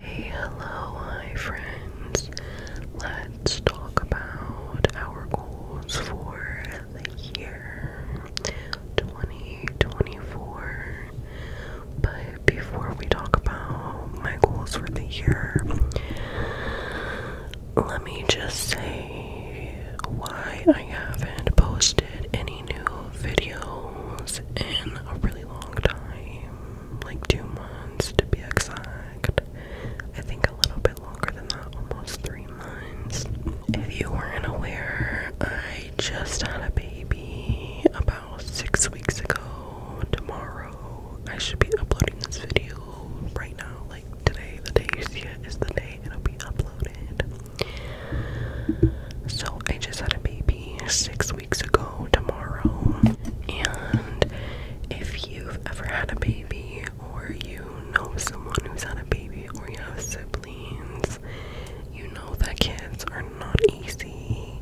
Hello, hi friends. Let's talk about our goals for the year 2024. But before we talk about my goals for the year, let me just say why I haven't posted any new videos in a really long time like two months to be exact. I think a little bit longer than that, almost three months. If you weren't aware, I just had a baby about six weeks ago. Tomorrow, I should be uploading this video right now. Like today, the day you see it is the day it'll be uploaded. So, I just had a baby six weeks ago tomorrow. And if you've ever had a baby, or you know someone who's had a baby, or you have siblings, you know that kids are not easy.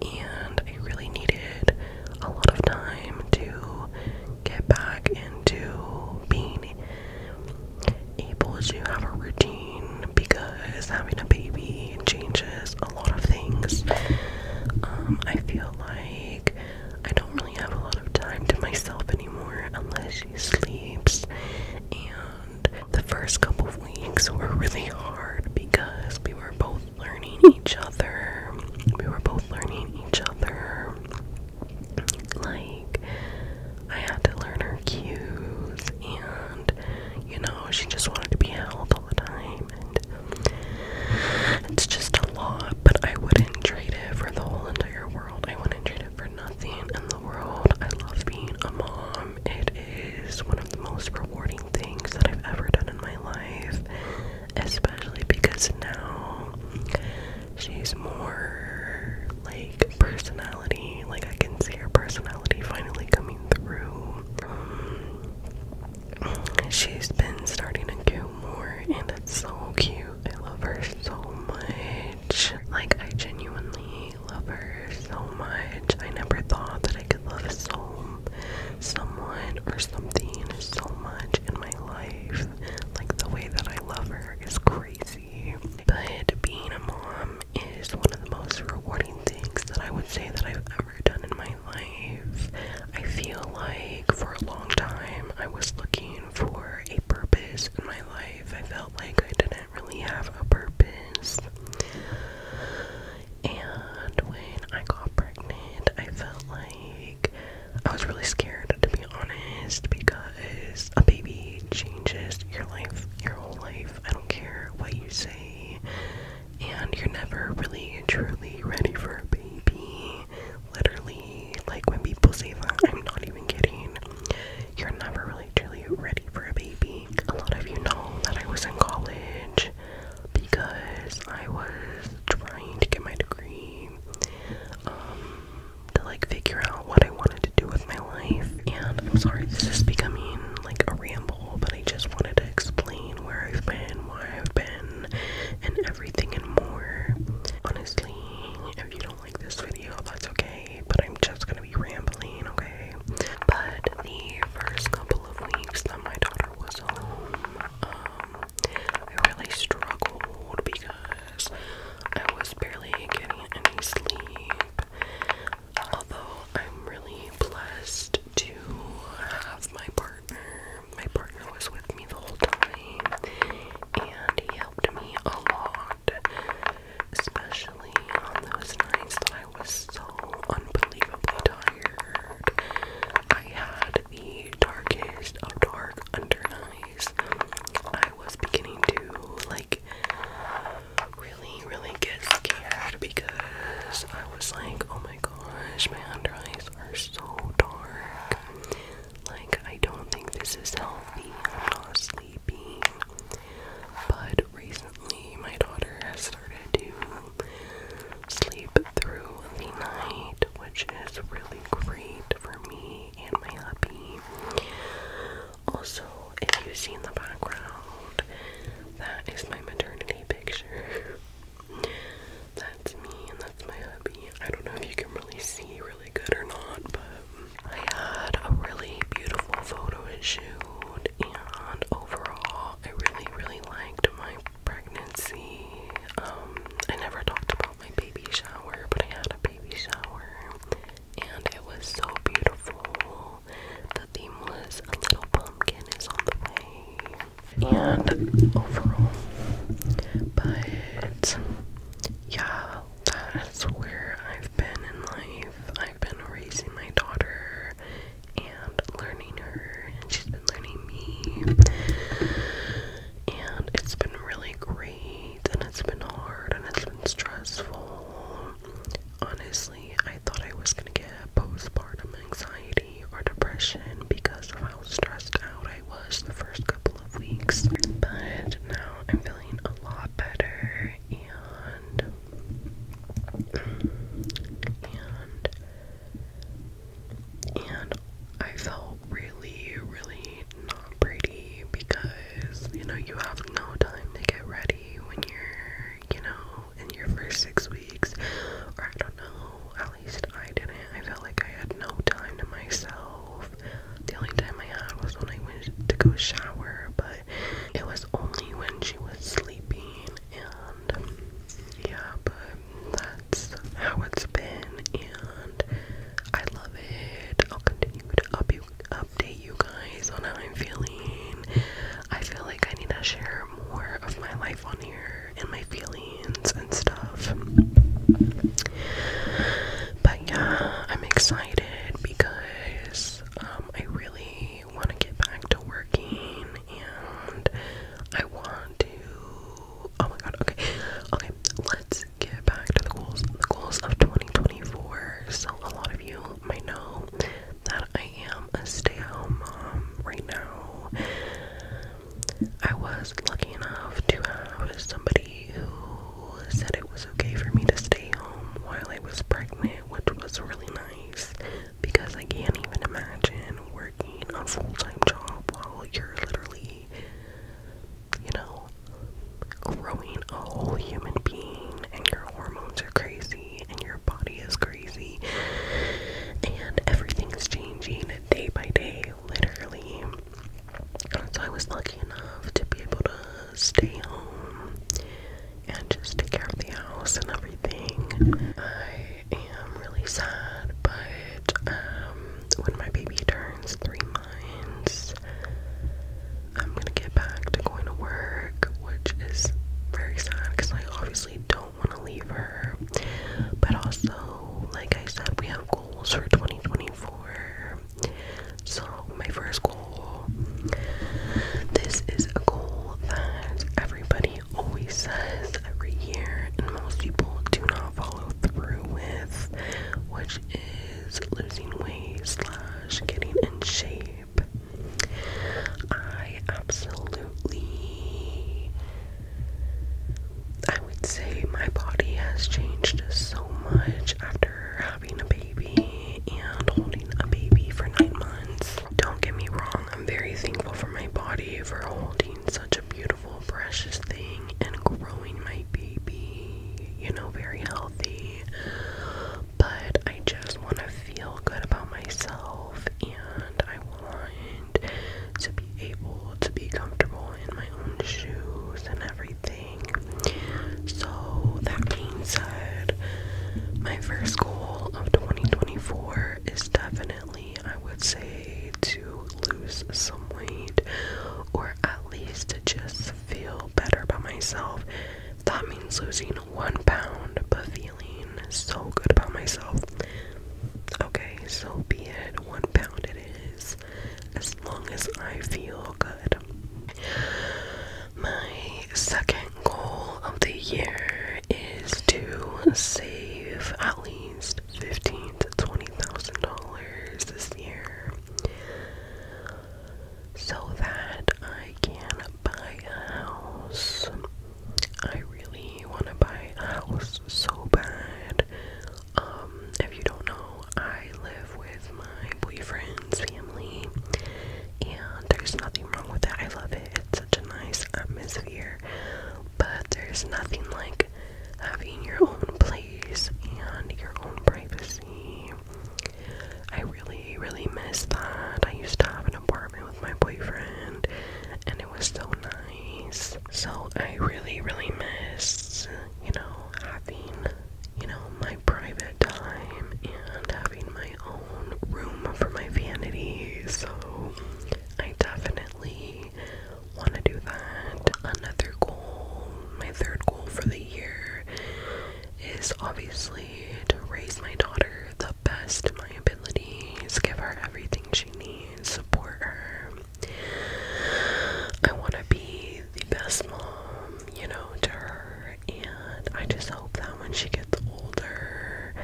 And I really needed a lot of time to get back into being able to have a routine because is having a baby changes a lot of things. Um, I feel like I don't really have a lot of time to myself anymore unless she sleeps. And the first couple of weeks were really hard because we were both learning each other. We were both learning each other. Like, I had to learn her cues and you know, she just wanted to be held all the time, and it's just a lot. But I wouldn't trade it for the whole entire world. I wouldn't trade it for nothing in the world. I love being a mom. It is one of the most rewarding things that I've ever done in my life, especially because now she's more like personality. Like I can see her personality finally coming through she's been starting to do more, and it's so cute. I love her so much. Like, I genuinely love her so much. I never thought that I could love so someone or something so much in my life. Like, the way that I love her is crazy. But being a mom is one of the most rewarding things that I would say that I've ever done in my life. I feel like for a long time I was looking for a purpose in my life. I felt like I didn't really have a purpose. And when I got pregnant, I felt like I was really scared to be honest because a baby changes your life, your whole life. I don't care what you say and you're never really truly ready for a baby. Literally, like when people say that, I'm not even kidding. You're never really truly ready for a baby. A lot of you know that I was in college because I was trying to get my degree um, to like figure out what I wanted to do with my life. And I'm sorry, this is becoming like a ramble, but I just wanted to explain where I've been, why I've been, and everything and more. Honestly, if you don't like this video, that's okay, but I'm just gonna be rambling, okay? But the first couple of weeks that my daughter was home, um, I really struggled because I was barely getting any sleep. Although I'm really blessed to have my partner. My partner was with me the whole time and he helped me a lot, especially on those nights that I was so unbelievably tired. I had the darkest of dark under eyes. I was beginning to like really, really get scared because I was like, oh my gosh, my under eyes are so dark. Like, I don't think this is healthy. I'm not sleeping. But recently, my daughter has started to sleep through the night, which is really great for me and my hubby. Also, if you see in the background, that is my maternity picture. that's me and that's my hubby. I don't know if you can really see really good or not, but I had a really beautiful photo shoot and overall I really really liked my pregnancy. Um I never talked about my baby shower, but I had a baby shower and it was so beautiful the theme was A Little Pumpkin is on the way. And overall. But yeah, that's where I've been in life. I've been raising my daughter and learning her, and she's been learning me. And it's been really great, and it's been hard, and it's been stressful. Honestly I thought I was gonna get postpartum anxiety or depression because of how stressed out I was the first couple of weeks. But now I'm feeling a lot better and and and I felt really, really not pretty because you know you have no time to get ready when you're you know in your first six weeks, or I don't know, at least I didn't. I felt like I had no time to myself. The only time I had was when I went to go shower, but it was only when she was sleeping, and yeah, but that's how it's been, and I love it. I'll continue to up update you guys on how I'm feeling. I feel like I need to share more of my life on here and my feelings and stuff. But yeah, I'm excited because um, I really want to get back to working and I want to. Oh my god, okay. Okay, let's get back to the goals. The goals of 2024. So, a lot of you might know that I I am a stay-at-home mom right now. I was lucky enough to have somebody who said it was okay for me to stay home while I was pregnant, which was really nice because I can't even imagine working a full-time job while you're literally, you know, growing a whole human being and your hormones are crazy and your body is crazy and everything's changing day by day, literally. So I was lucky enough to be able to stay home and just take care of the house and everything. I am really sad, but um, when my baby turns three months, I'm gonna get back to going to work, which is very sad because I obviously don't want to leave her. But also, like I said, we have goals for 2024. So, my first goal this is a goal that everybody always says every year, and most people do not follow through with, which is losing weight slash getting in shape. I absolutely. I would say my body has changed so much after having a baby and holding a baby for nine months. Don't get me wrong, I'm very thankful for my body for holding such a beautiful, precious thing and growing my baby, you know, very healthy but I just want to feel good about myself and I want to be able to be comfortable in my own shoes and everything. So, that being said, my first goal of 2024 is definitely, I would say, to lose some weight or at least just feel better about myself. That means losing one pound, but feeling so good about myself. Okay, so be it. One pound it is. As long as I feel good. My second goal of the year is to save at least fifteen to twenty thousand dollars this year so that I can buy a house. I really want to buy a house so bad. Um, if you don't know, I live with my boyfriend's family, and there's nothing wrong with that. I love it, it's such a nice atmosphere, but there's nothing like having your own place and your own privacy I really, really miss that. I used to have an apartment with my boyfriend, and it was so nice. So I really, really miss, you know, having, you know, my private time and having my own room for my vanity. So I definitely want to do that. Another goal, my third goal for the year is obviously to raise my daughter the best of my abilities, give her everything she needs, support her. I want to be the best mom, you know, to her, and I just hope that when she gets older,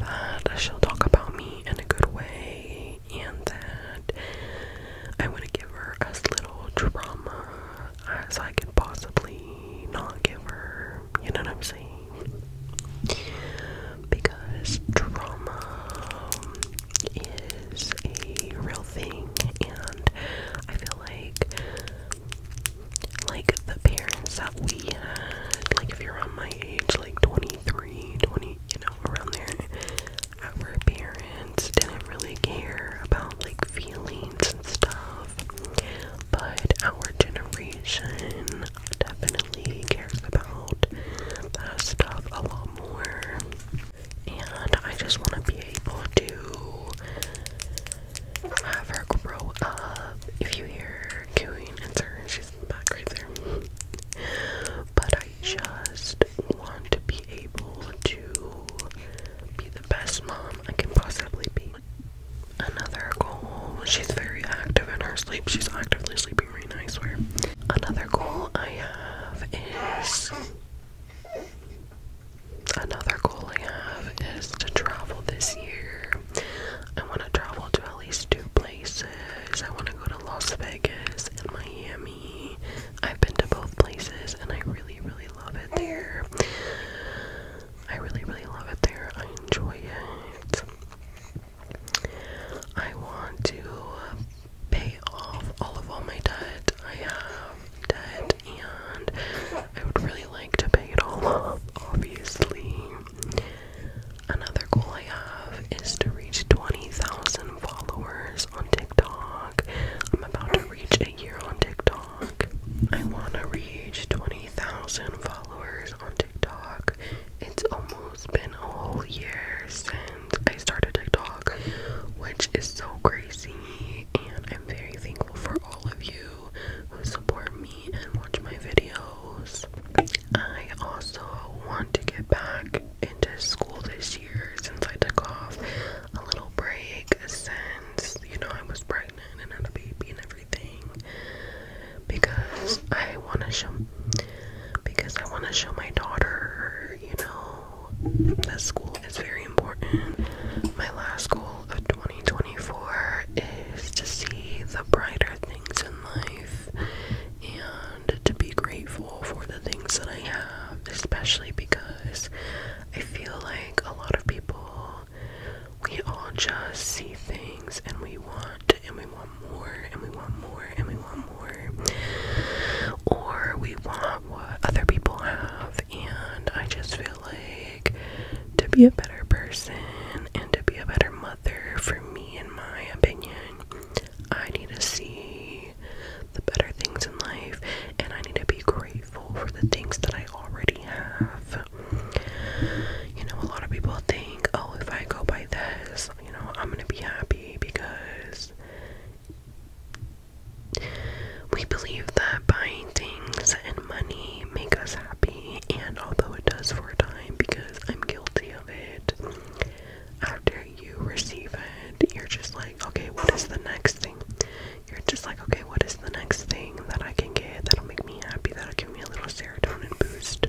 that she'll talk about me in a good way, and that I want to give her a little trauma as I could possibly not give her. You know what I'm saying? Because drama is a real thing, and I feel like, like the parents that we had, like if you're on my age, like 23, 20, you know, around there, our parents didn't really care about like feelings and stuff. But our generation definitely cares about that stuff a lot more. And I just want to be able to have her grow up. If you hear cooing, it's her, she's back right there. But I just want to be able to be the best mom I can possibly be. Another goal, she's very active in her sleep. She's actively sleeping right now, I Another goal I have is. Another goal I have is to travel this year. I want to travel to at least two places. I want to go to Las Vegas and Miami. I've been to both places and I really, really really love it there. I really, really love it there. I enjoy it. I want to pay off all of all my debt. I have debt and I would really like to pay it all off, obviously. Another goal I have is to reach 20,000 followers on TikTok. I'm about to reach a year on TikTok. I want to reach 20,000 followers on TikTok. It's almost been a whole year since I started TikTok, which is so crazy. And I'm very thankful for all of you who support me and watch my videos. I also want to get back into school this year since I took off a little break since you know I was pregnant and had a baby and everything because I want to show because I want to show my daughter, you know, that school is very important. My last goal of 2024 is to see the brighter things in life and to be grateful for the things that I have, especially because I feel like like a lot of people, we all just see things and we want and we want more and we want more and we want more. Or we want what other people have, and I just feel like to be a better person and to be a better mother, for me, in my opinion, I need to see the better things in life and I need to be grateful for the things that I already have. You know, a lot of people think, oh, if I go buy this, you know, I'm gonna be happy because we believe that buying things and money make us happy, and although it does for a time, because I'm guilty of it, after you receive it, you're just like, okay, what is the next thing? you're just like, okay, what is the next thing that I can get that'll make me happy, that'll give me a little serotonin boost?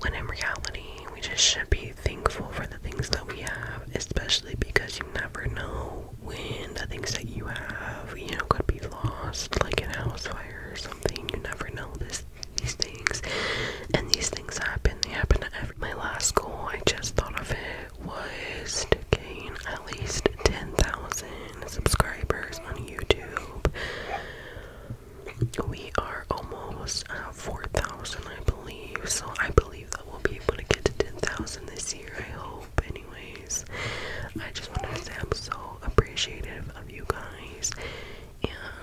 When in reality, we just should be thankful for the things that we have, especially because you never know when the things that you have, you know, could be lost, like in a house fire or something. You never know this these things, and these things happen, they happen at every. My last goal, I just thought of it, was to gain at least 10,000 subscribers on YouTube. We are almost at 4,000, I believe, so I believe that we'll be able to get to 10,000 this year, I hope. Anyways, I just wanted to say I'm so appreciative of you guys,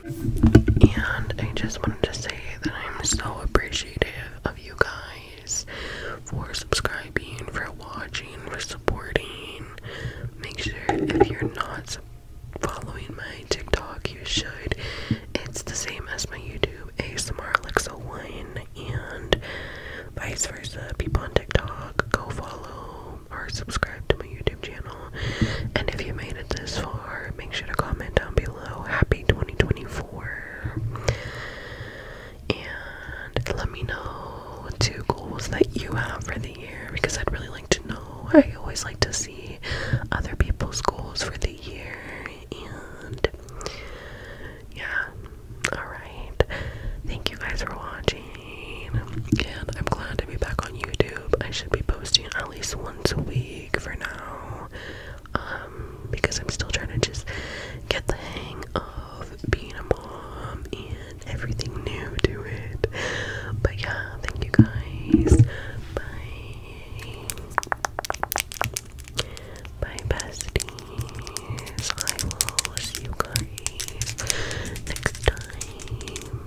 and, and I just wanted to say that I'm so appreciative appreciative of you guys for subscribing, for watching, for supporting. Make sure if you're not following my TikTok, you should. It's the same as my YouTube, ASMR Alexa One, and vice versa. People on TikTok, go follow or subscribe to my YouTube channel. And if you made it this far, make sure to comment down below. Happy 2024. And let me know two goals that you have for the year because I'd really like to know. I always like to see other people's goals for the year. And yeah, alright. Thank you guys for watching. And I'm glad to be back on YouTube. I should be posting at least once a week for now. Um, because I'm still trying to just get the hang of being a mom and everything new to it. But yeah, thank you guys. Bye. Bye, besties. I will see you guys next time.